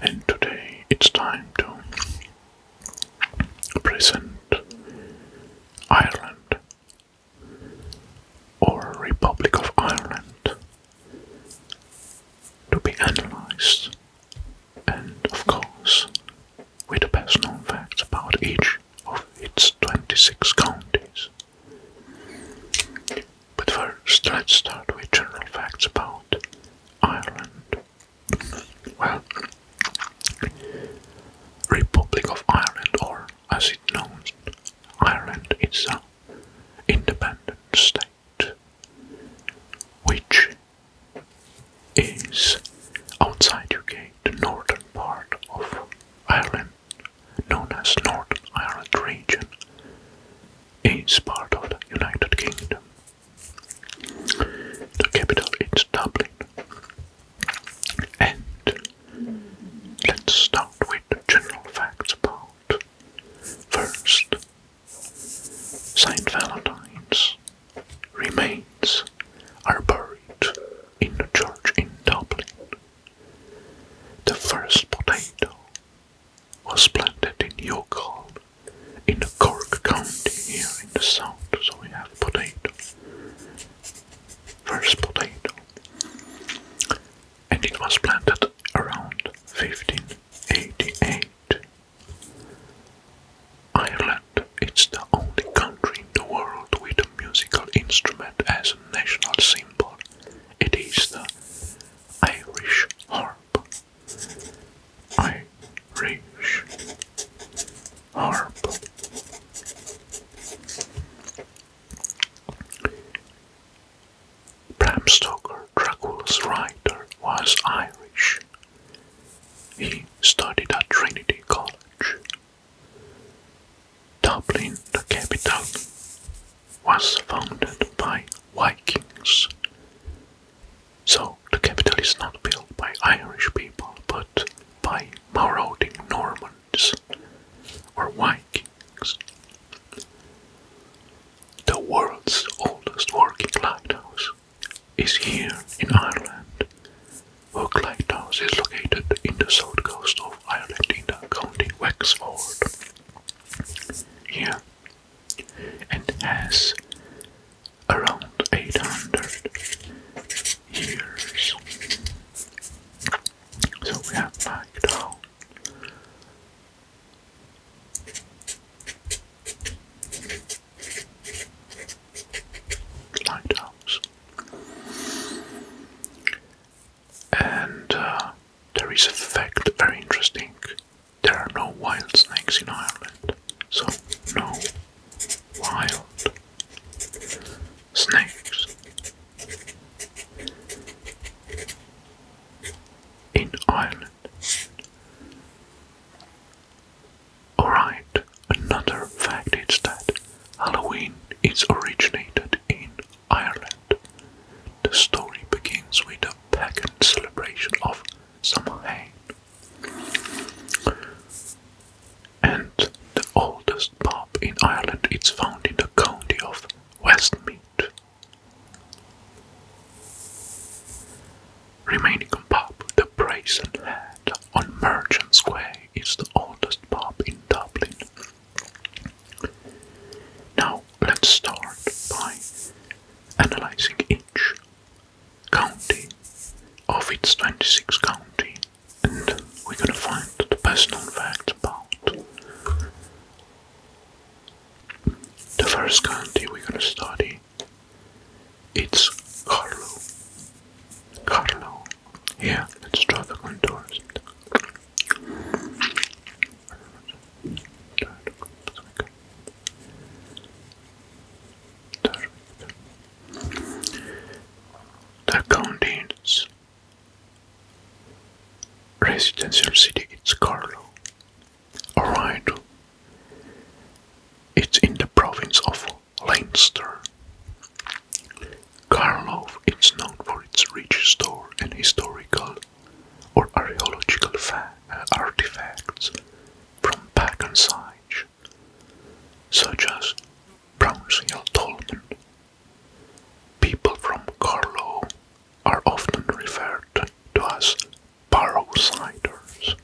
and today it's time to present Ireland or Republic of Ireland to be analyzed and of course with the best known facts about each of its 26 counties. But first, let's start with general facts about Ireland. Well, Republic of Ireland, or as it known, Ireland is an independent state, which is outside UK, the northern part of Ireland, known as Northern Ireland region, is part of the United Kingdom. The capital is Dublin. And let's start with the general facts about first Saint Valentine's remains are buried in the church in Dublin. The first potato was planted in Youghal in Cork County here in the south. So we have potato, first potato, and it was planted around 1588. Ireland it's the only country in the world with a musical instrument as a national symbol. It is the Irish harp. Irish harp. Bram Stoker, Dracula's writer, was Irish. He studied at Trinity College. Dublin, the capital, was founded by Vikings. So the capital is not built by Irish people but by marauding Normans or Vikings. The world's oldest working lighthouse is here in Ireland. Work Lighthouse is located in the south coast of Ireland in the county Wexford. Here and has around 800 years. So we have like and uh, there is a fact very interesting there are no wild snakes in Ireland, so no wild snakes. In Ireland. Alright, another fact is that Halloween is originated in Ireland. The story begins with pagan celebration of Samhain. And the oldest pub in Ireland is found in the county of Westmeath. Remaining pub, the Brazen Head on Merchant Square, is the oldest pub in Dublin. Now, let's start by analyzing each county of its 26 county and we're gonna find the best known facts about the first county we're gonna study it's Carlo. Carlo. Yeah, let's draw the contours. The county's residential city It's Carlo. Alright. It's in the province of Leinster. Karlov is known for its rich store and historical or archaeological uh, artifacts from pagan sites, such as Brownsville, Hill Tolman. People from Carlow are often referred to as Barrowsiders.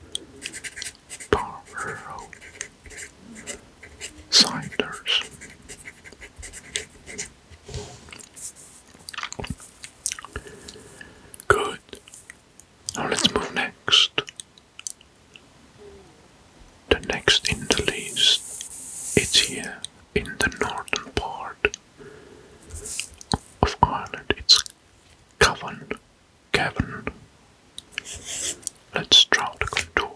Barrow Siders. Good. Now let's move next. The next in the list it's here in the northern part of Ireland. It's Cavan. Cavan. Let's draw the contour.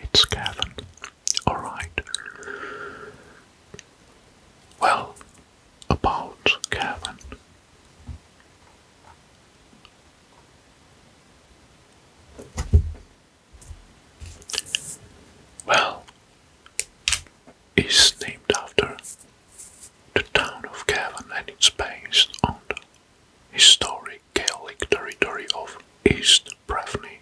It's Gavin. Alright. Well, about Gavin. Well, is named after the town of Gavin and it's based on the history the Gaelic territory of East Breffni.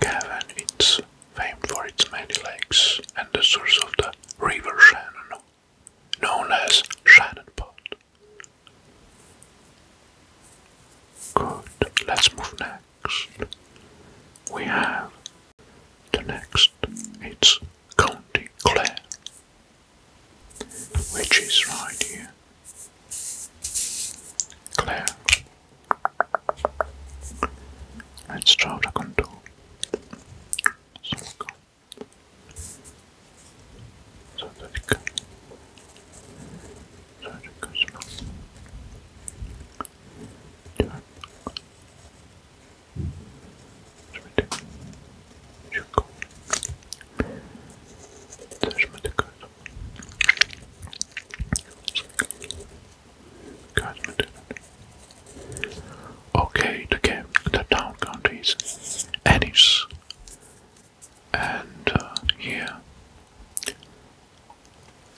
Cavan is famed for its many lakes and the source of the River Shannon, known as Shannon Pond. Good, let's move next. We have the next, it's County Clare which is right here. Clear. Let's draw the contour. So we go. So that it can, so that it goes back. Yeah. Taşma Okay, the town country is Ennis, and uh, here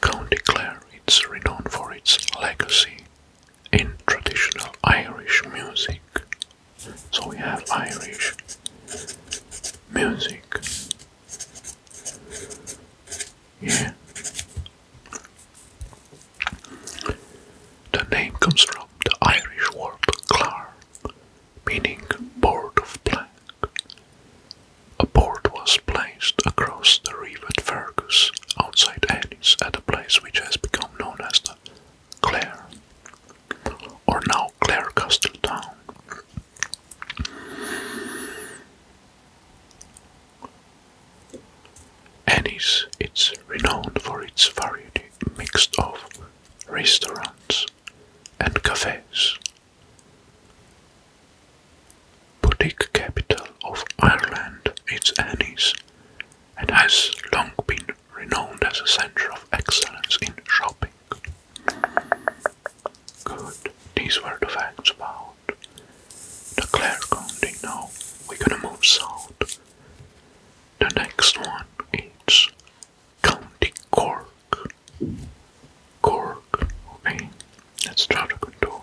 County Clare is renowned for its legacy in traditional Irish music. So we have Irish music. Yeah. The name comes from the Irish word "clar," meaning board of plank. A board was placed across the river at Fergus, outside Ennis, at a place which has become known as the Clare, or now Clare Castletown. Ennis is renowned for its variety mixed of restaurants and cafes. Boutique capital of Ireland, it's Ennis, and has long been renowned as a center of excellence in shopping. Good, these were the facts about the Clare County. Now we're gonna move south. The next one is County Cork. Cork, okay, let's try to control.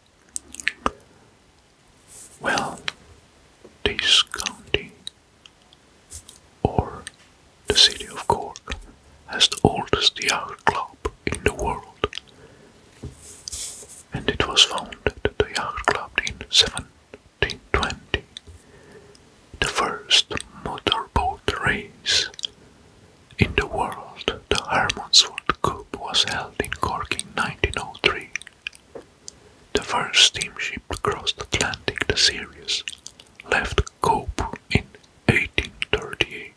Well, this county or the city of Cork has the oldest yacht club in the world, and it was founded the yacht club in 1720. The first motorboat race in the world, the Hermansford Cup, was held in Cork in 1903. The first steamship to cross the Atlantic, the Sirius, left Cope in 1838.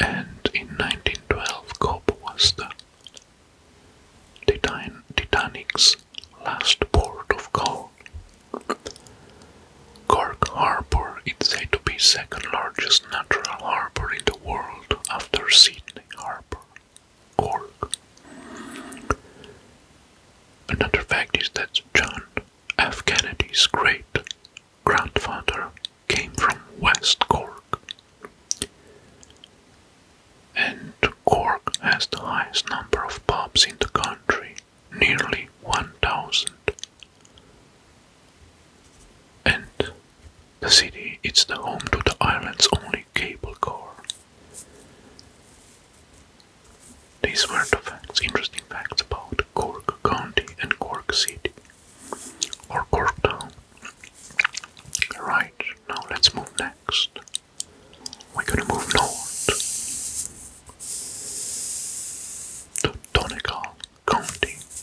And in 1912, Cope was the Titanic's last port of call. Cork Harbour is said to be second largest natural harbour in the world after Sydney Harbour org. Another fact is that John F. Kennedy's great grandfather came from West Cork, and Cork has the highest number of pubs in the country, nearly 1,000. And the city is the home to the island's only cable car. These were the facts, interesting facts about Cork County and Cork City, or Cork Town. Right, now let's move next. We're gonna move north to Donegal County.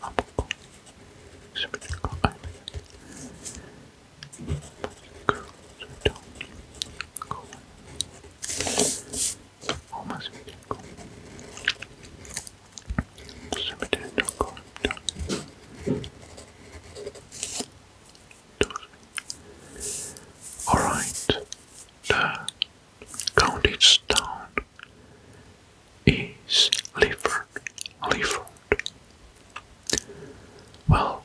안 먹고 싶은 거 알면 그리고 절정 그거 엄마 생긴 거 숨이 되는 거 같다 Alright, the count is down is Leaford. Leaford. Well,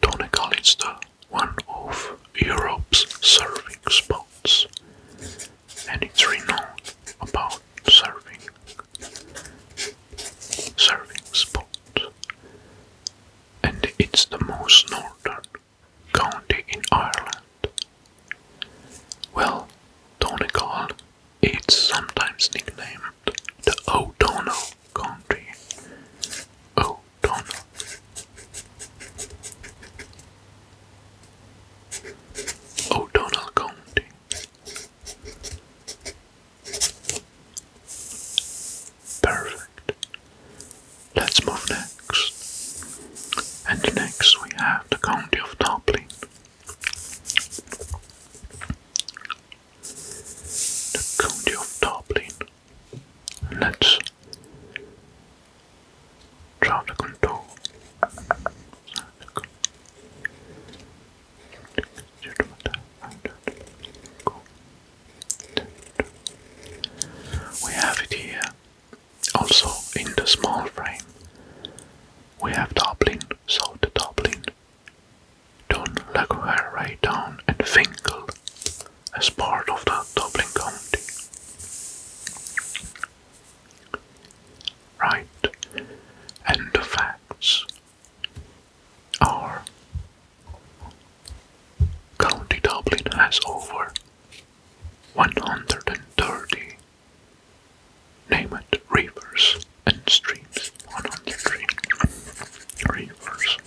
Donegal is the one of Europe's surfing spots, and it's renowned about surfing. Surfing spot, and it's the most northern county in Ireland. Well, Donegal it's sometimes nicknamed the O'Donnell Country. O'Donnell. O'Donnell County. Perfect. Let's move next. And next we have the county of Dublin, the County of Dublin. Let's try the contour. We have it here. Also in the small frame we have Dublin, so the Dublin Don Laguerre, Raytown and Finkel as part of the Dublin County. Right, and the facts are County Dublin has over 130 Name it rivers and streams. One hundred three Rivers.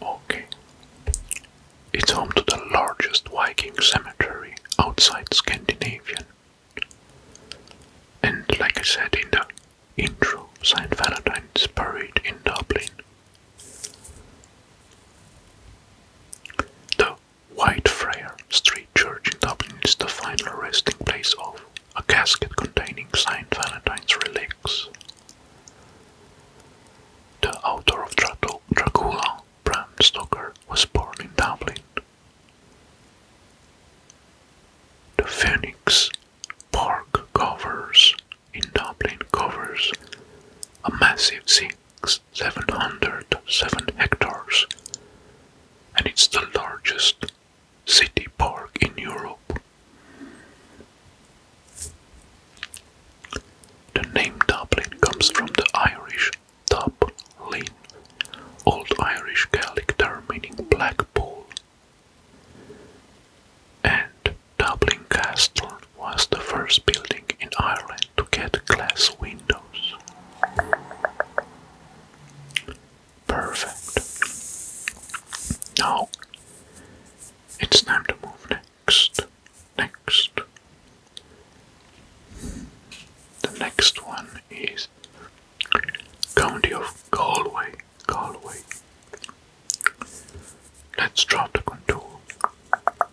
Okay. It's home to the largest Viking cemetery outside Scandinavian. And like I said in the intro, St. Valentine is buried in Dublin the Whitefriar Street Church in Dublin is the final resting place of a casket containing Saint Valentine's relics. The author of Dracula, Bram Stoker, was born in Dublin. The Phoenix Park covers in Dublin covers a massive 707 hectares and it's the largest city park in Europe. The name Dublin comes from the Irish Dublin, Old Irish Gaelic term meaning black pool, and Dublin Castle was the first building in Ireland to get glass windows. Perfect. Now it's time to move next. Next. The next one is County of Galway. Galway. Let's draw the contour.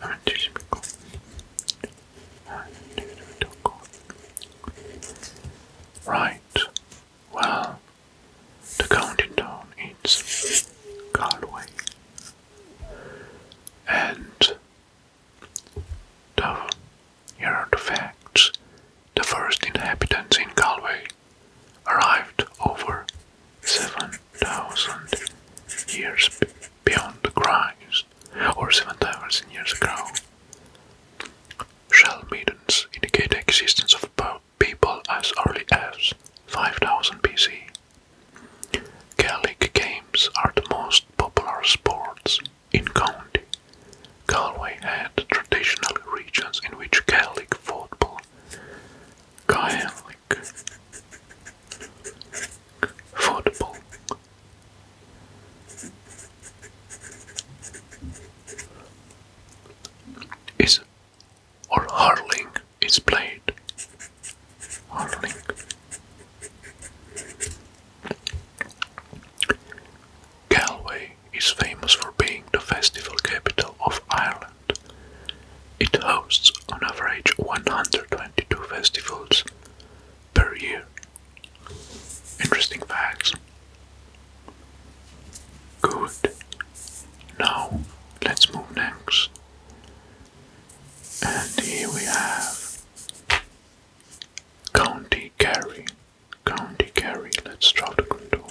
만드시고 Right, well, the counting down is Galway and Dublin. Here are the facts. The first inhabitants in Galway arrived over seven thousand years beyond Christ, or seven thousand years ago. Shell middens indicate the existence of people as early as 5000 BC. Gaelic games are the most popular sports in County. Galway and traditional regions in which Gaelic football kayak, football, is or hurling is played. Hurling. Galway is famous for being the festival capital of Ireland. It hosts on average 122 festivals per year. Interesting facts. Good. Now let's move next. And here we have County Kerry. County Kerry. Let's draw the contour.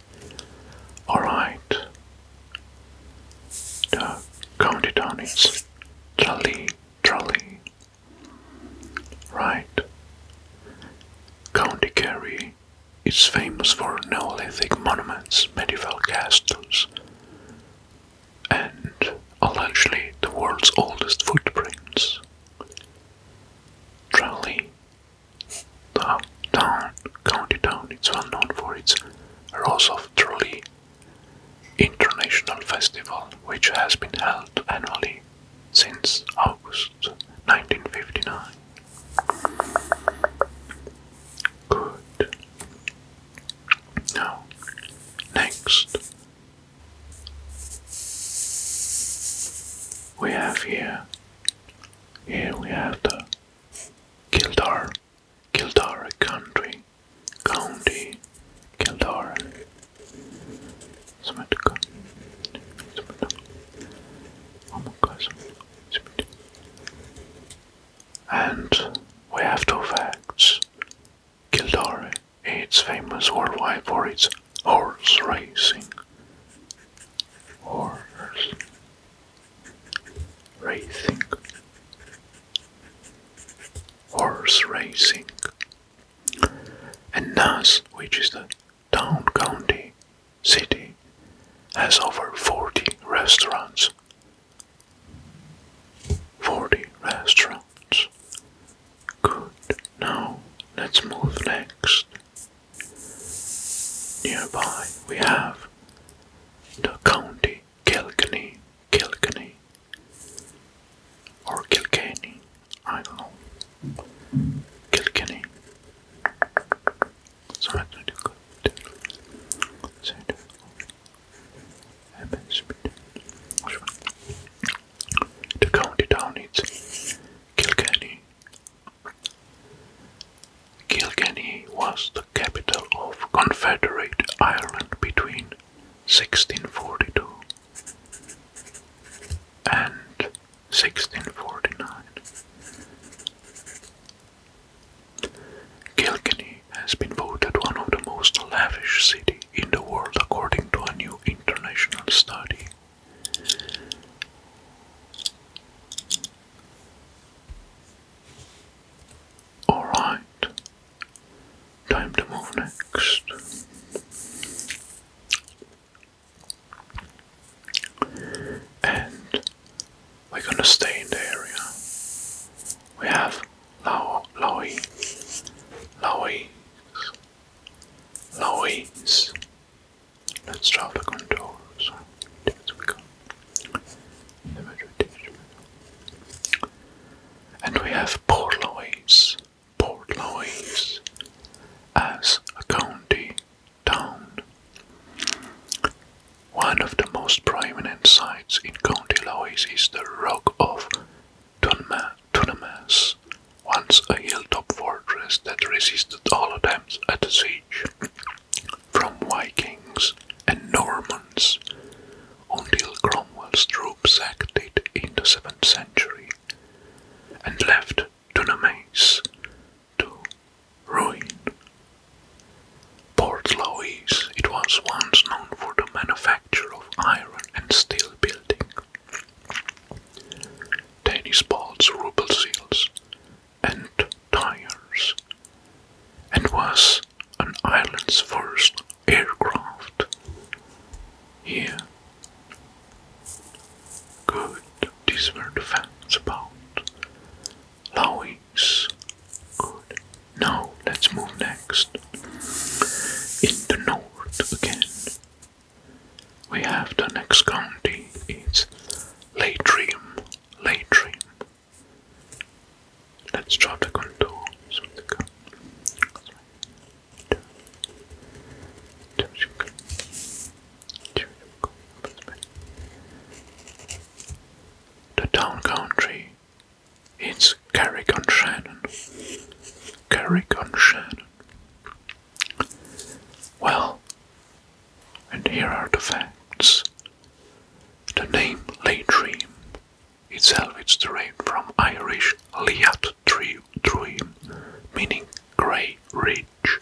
Alright. The county town is Trolley, Trolley. Right. County Kerry is famous for Neolithic monuments, medieval castles, and allegedly the world's oldest footprints. Trolley the town, county town, is well known for its Rose of International Festival, which has been held annually since August 1959. Good. Now, next, we have here, here we have the Kildare, Kildare Country, County, Kildare. And we have two facts. Kildare It's famous worldwide for its horse racing. Horse racing, horse racing, and Nass, which is the town county city, has over 40 restaurants. 40 restaurants. Good. Now let's move next Nearby we have the county Kilkenny, Kilkenny, or Kilkenny, I don't know. Kilkenny. So I do good. So I county town is Kilkenny, Kilkenny was the capital of Confederate Ireland between 1642 and 1649. Kilkenny has been voted one of the most lavish cities in the world according to a new international study. Alright, time to move next. And we're gonna stay in the area. We have Lao Laoi Laois Laois Let's draw the contours. And we have Port Louis, Port Louis as a county town. One of the most prominent sites in County Louis is the Rock of Tunamas, once a hilltop fortress that resisted all attempts at a siege from Vikings and Normans until Cromwell's troops acted in the 7th century and left Dunamace to ruin. Port Louis, it was once known for the manufacture of iron and steel building. Danish balls, ruble seals, and tires, and was an island's first aircraft. Here, Good, these were the facts about Lois. Good. Now let's move next. In north again, we have the next county. It's Latrium latrine. Let's drop the contours of the The town country It's Carrick on Shannon. Carrick Well, and here are the facts. The name Lay Dream itself is derived from Irish Liat Druim, meaning grey ridge,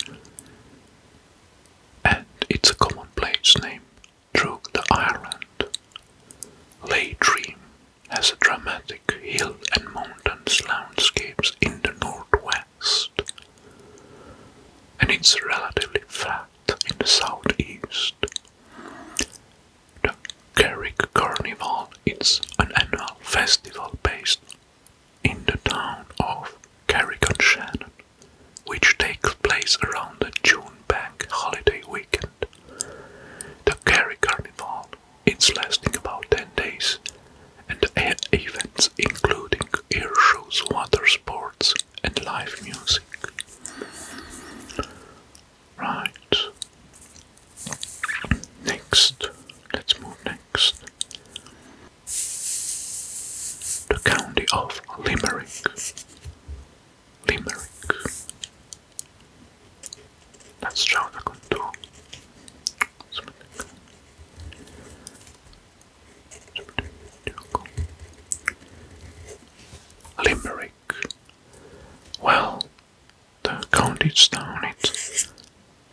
and it's a common place name through the island. Lay Dream has dramatic hill and mountains landscapes in the northwest and it's relatively flat in the southeast. The Carrick Carnival is an annual festival based in the town of Carrick-on-Shannon, which takes place around the June Bank holiday weekend. The Kerry Carnival is lasting about 10 days, and even including air shows, water sports, and live music. Right. Next. Let's move next. The county of Limerick. Limerick. That's Java control. Limerick. Well, the county's down it.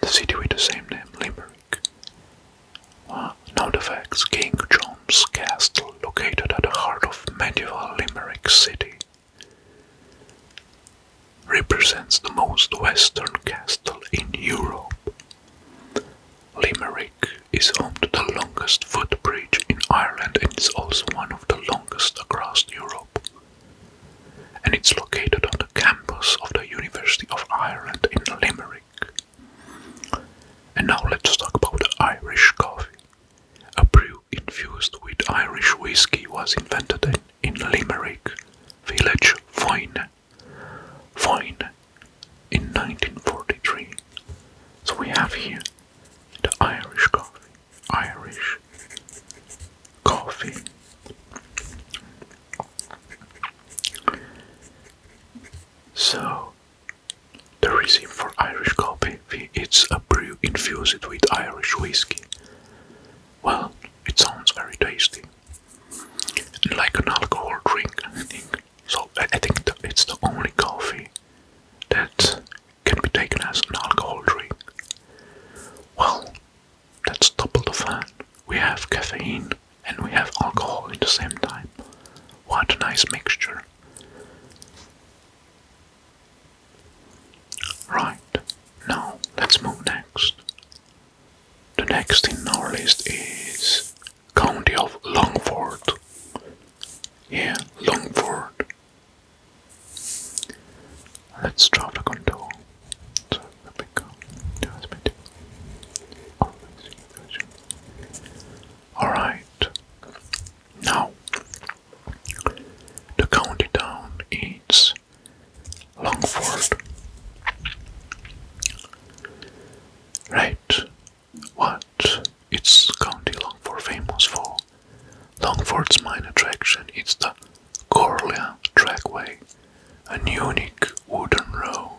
The city with the same name, Limerick. now the facts King John's Castle, located at the heart of medieval Limerick City, represents the most western castle in Europe. Limerick is home to the longest footbridge in Ireland and is also one of the longest across Europe. And it's located on the campus of the University of Ireland in Limerick. And now let's talk about Irish coffee. A brew infused with Irish whiskey was invented in Limerick village Foyne Fine in 1943. So we have here the Irish coffee. Irish coffee. So the reason for Irish coffee it's a brew infused with Irish whiskey. Well, it sounds very tasty. Like an alcohol drink, I think. So I think it's the only coffee that can be taken as an alcohol drink. Well, that's double the fun. We have caffeine and we have alcohol in the same time. What a nice mixture. Right, now let's move next. The next in our list is County of Longford. Yeah, Longford. Let's drop the control. Alright. Now the county town is Longford. Right, what its county Longford famous for. Longford's main attraction is the Corlea Trackway, an unique wooden road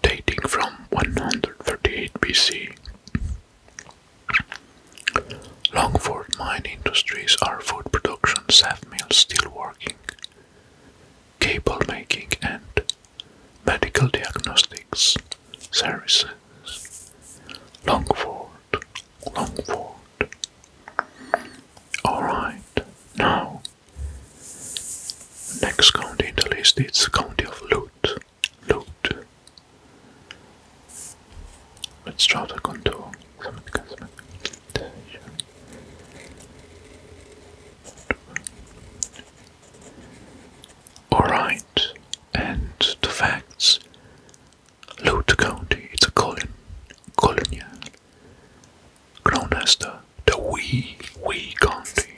dating from 138 BC. Longford mine industries are food production, saff still working cable making and medical diagnostics services. Longford, Longford. Alright, now next county in the list It's county of Lute. Lute. Let's try the contour. Alright, and the facts. Lute County, it's a colon, colonial, known as the, the Wee Wee County.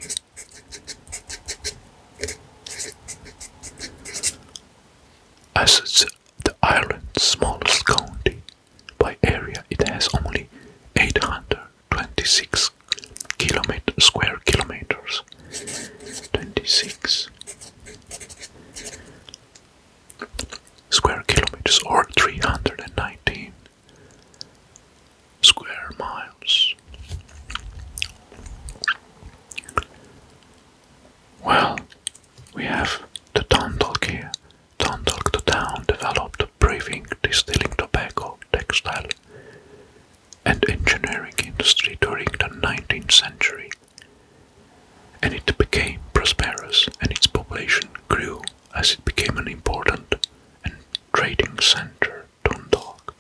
As it's the island's smallest county, by area, it has only 826 square kilometers. 26 square kilometers or 319 square miles. Well, we have the town talk here Dundalk the town developed brewing, distilling tobacco, textile and engineering industry during the 19th century and it became prosperous and its population grew as it became an important trading center, Dundalk.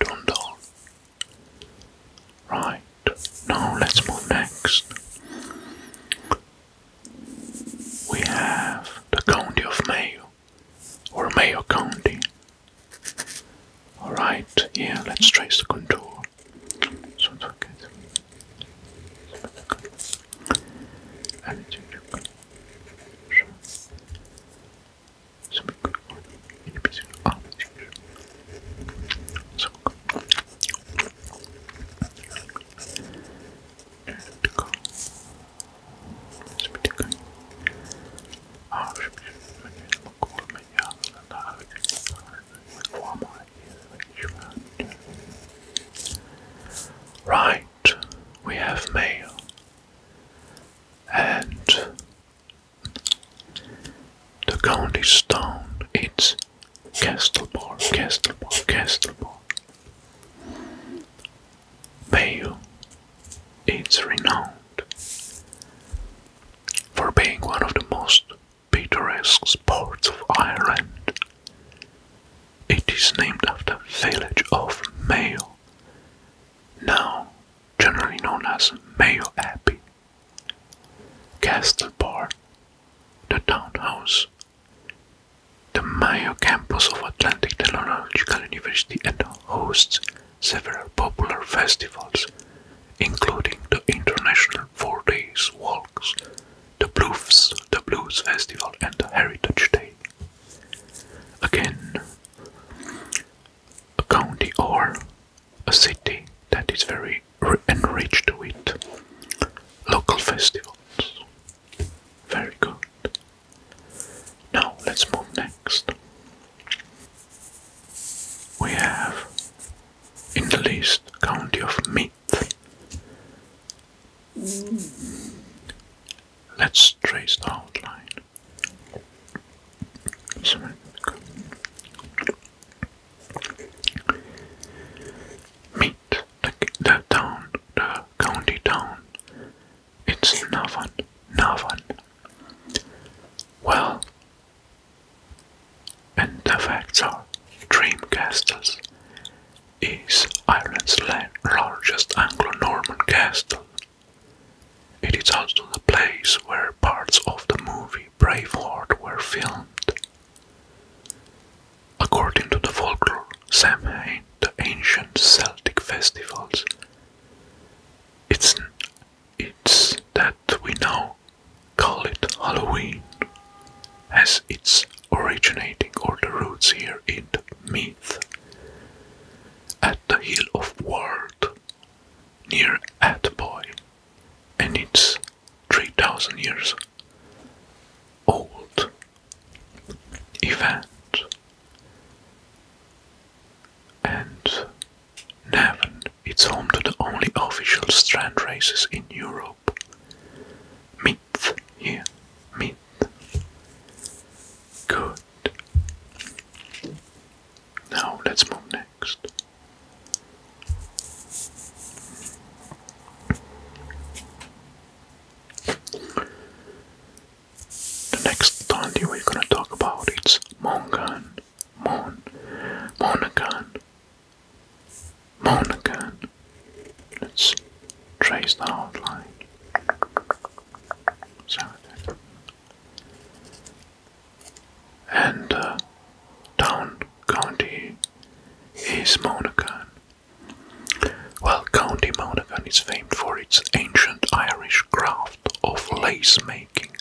Dundalk. Right, now let's move next we have the County of Mayo, or Mayo County. Alright, yeah, let's trace the contour. So Right, we have mail. And the county stone is Castlebar, Castlebar, Castlebar. Bayeux is renowned for being one of the most picturesque parts of Ireland. It is named after the village of Mayo, now generally known as Mayo Abbey. Castlebar, the townhouse the Mayo campus of Atlantic Technological University hosts several popular festivals, including the International Four Days Walks, the Blues, the Blues Festival, and the Heritage Day. Again, a county or a city that is very enriched with local festivals. Very good. Now let's move next. We have in the list county of Meath. Let's trace the outline. Sorry. Meath, the, the town the county town. It's Navan. Navan. Well, and the facts are Dream is Ireland's largest Anglo Norman castle. It is also the place where parts of the movie Braveheart were filmed. According to the folklore, Samhain, the ancient Celtic festivals, it's, it's that we now call it Halloween, as it's originating or the roots here in the myth. At the hill of Ward, near Atboy, and it's 3000 years old event and Navan is home to the only official strand races in Europe. Myth here, myth. Good. Now let's move next. The next county we're gonna talk about is Mongan. Mon Monagan. Monagan. Let's trace the outline. And uh, town county is Monacan. While County Monaghan is famed for its ancient Irish craft of lace making,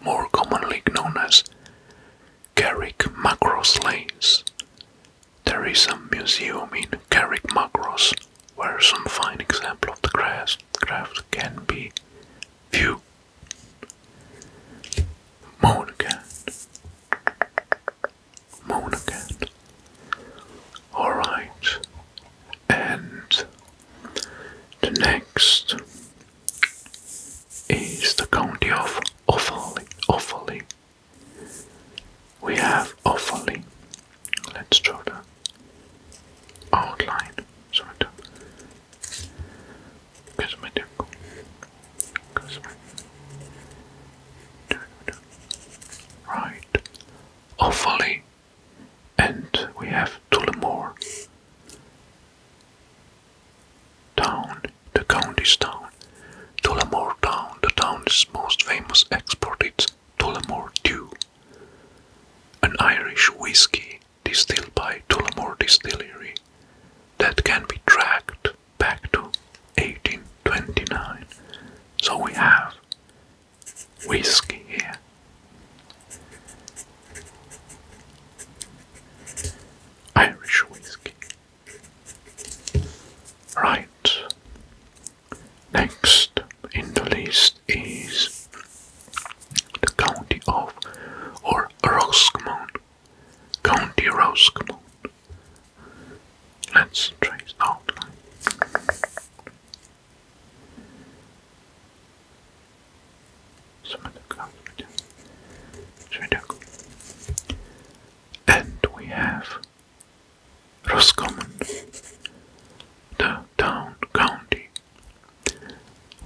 more commonly known as Carrick Macross Lace. There is a museum in Carrick Macross where some fine examples of the craft can be viewed moon again. Alright, and the next is the county of Offaly. Offaly. We have Offaly. Let's draw the outline. Sorry, Cosmetic. Cosmetic right, Offaly, and we have Tullamore town, the county's town. Tullamore town, the town's most famous export is Tullamore Dew, an Irish whiskey distilled by Tullamore Distillery that can be tracked back to 1829. So we have whiskey here. Irish whiskey. Right. Next in the list is the county of or Roscommon. County Roscommon. Let's trace the outline. Some of the clouds And we have Roscommon, the town county.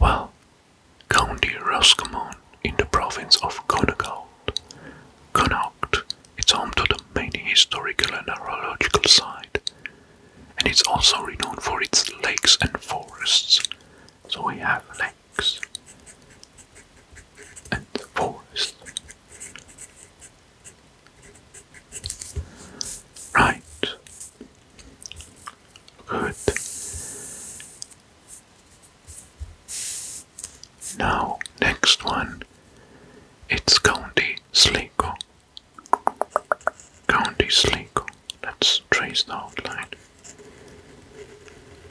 Well, County Roscommon in the province of Donegal Connaught is home to the main historical and archaeological site, and it's also renowned for its lakes and forests. So we have lakes and forests. Right. Good. Now, next one. It's County Sligo. County Sligo. Let's trace the outline.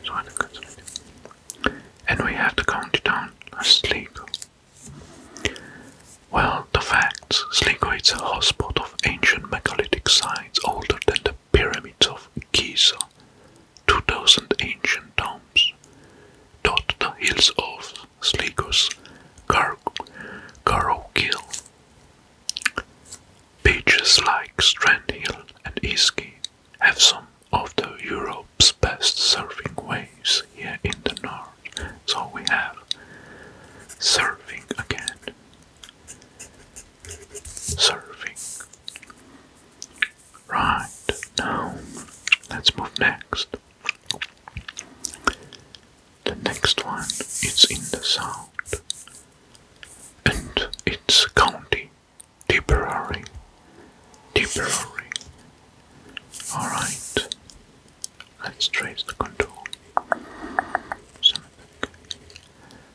So I look at And we have the county town Sligo. Well, the facts. Sligo is a hotspot of ancient megalithic sites older than the pyramids of Giza two thousand ancient tombs dot the hills of Sligos, Karokil, Beaches like Strandhill and Iski have some of Europe's best surfing waves here in the north. So we have surfing again. Surfing. Right, now let's move next the next one is in the south, and it's county Tipperary. Tipperary. Alright, let's trace the contour.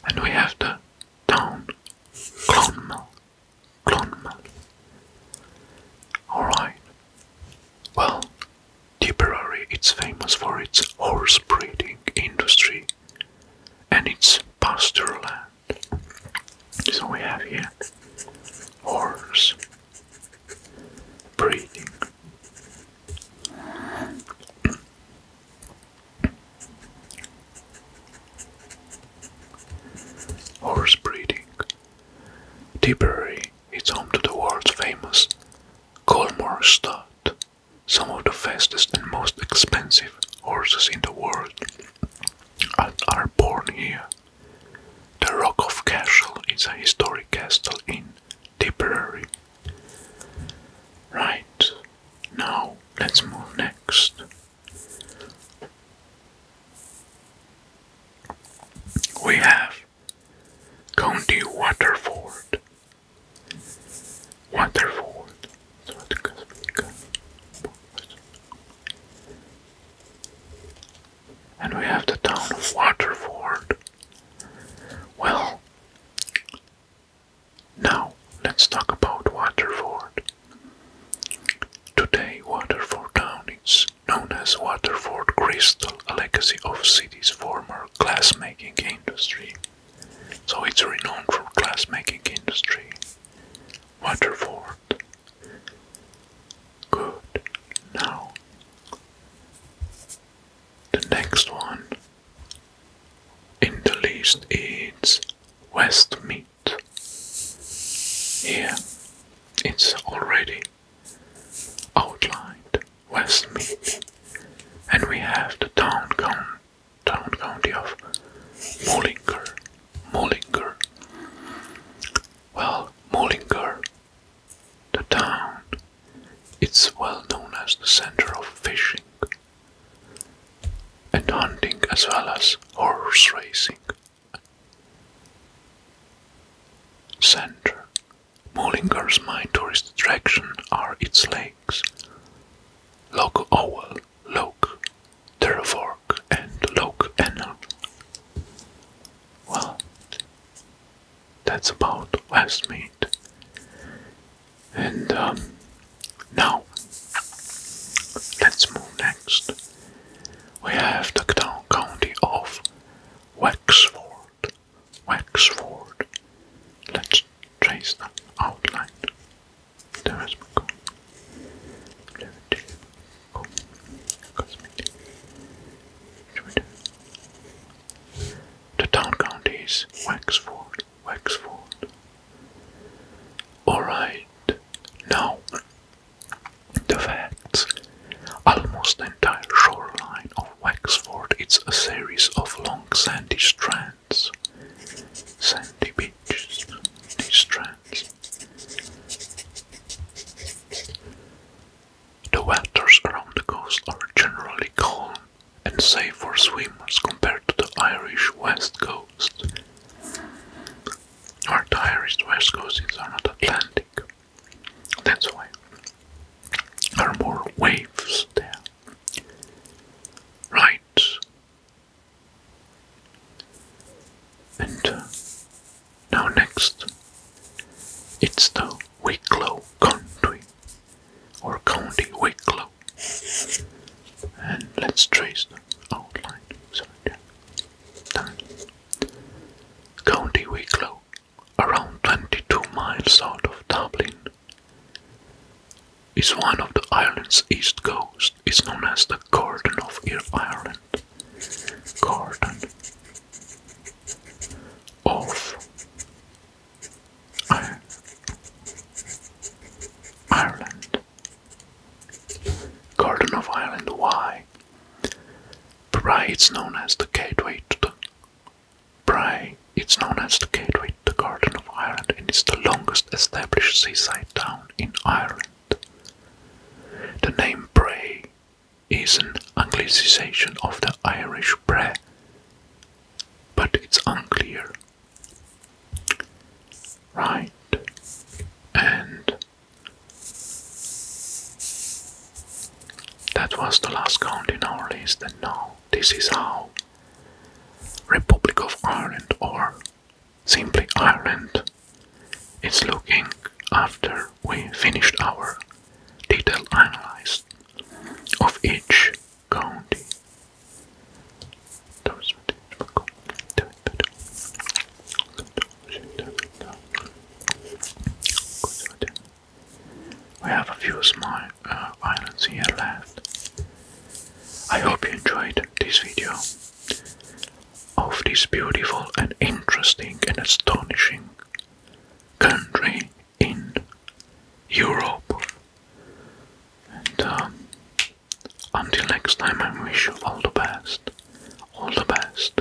And we have the town Clonmel. Clonmel. Alright. Well, Tipperary is famous for its horse breeding industry and its pasture land. So we have here horse breeding. Horse breeding. Tipperary is home to the world's famous Colmore Stud, some of the fastest and most expensive horses in the world are born here. The Rock of Cashel is a historic castle in Tipperary. Right, now let's move next we have County Waterford. Waterford. And we have the town of Waterford. Well, now let's talk about Waterford. Today, Waterford Town is known as Waterford Crystal, a legacy of city's former glassmaking industry. So it's renowned for glassmaking industry. Waterford. Good. Now, the next one in the list is Westmead. Here it's already outlined west Westmeath, and we have the town, count, town county of Mullingar. Mullingar. Well, Mullingar, the town, it's well known as the center of fishing and hunting as well as horse racing. Center. Mullingar's main tourist attraction are its lakes, Loch Owl, Loch Terrafork, and Loch Ennell. Well, that's about mate, And um, now, let's move next we have the town county of Wexford. Wexford. Let's trace the outline. There is the town county is Wexford, Wexford. Alright, now the fact: Almost the entire shoreline of Wexford is a series of long sandy strands. Sandy beaches, these strands. The waters around the coast are generally calm and safe for swimmers compared to the Irish west coast. Our Irish, West coast is not Atlantic. That's why there are more waves there. Right. And uh, now next, it's the Wicklow County or County Wicklow, and let's trace the outline. Sorry, done. County Wicklow, around 22 miles south of Dublin, is one of the island's east coast. It's known as the Garden of Ireland. Garden of Ireland. Garden of Ireland. Why? Bri is known as the gateway to the Bri it's known as the gateway to the Garden of Ireland and it's the longest established seaside town in Ireland. The name Bray is an Anglicization of the Irish Bre, but it's unclear. Right, and that was the last count in our list, and now this is how Republic of Ireland or simply Ireland is looking after we finished our detailed analysis of each county. We have a few small uh, islands here left. I hope you enjoyed this video of this beautiful and interesting and astonishing country in Europe. And um, until next time, I wish you all the best. All the best.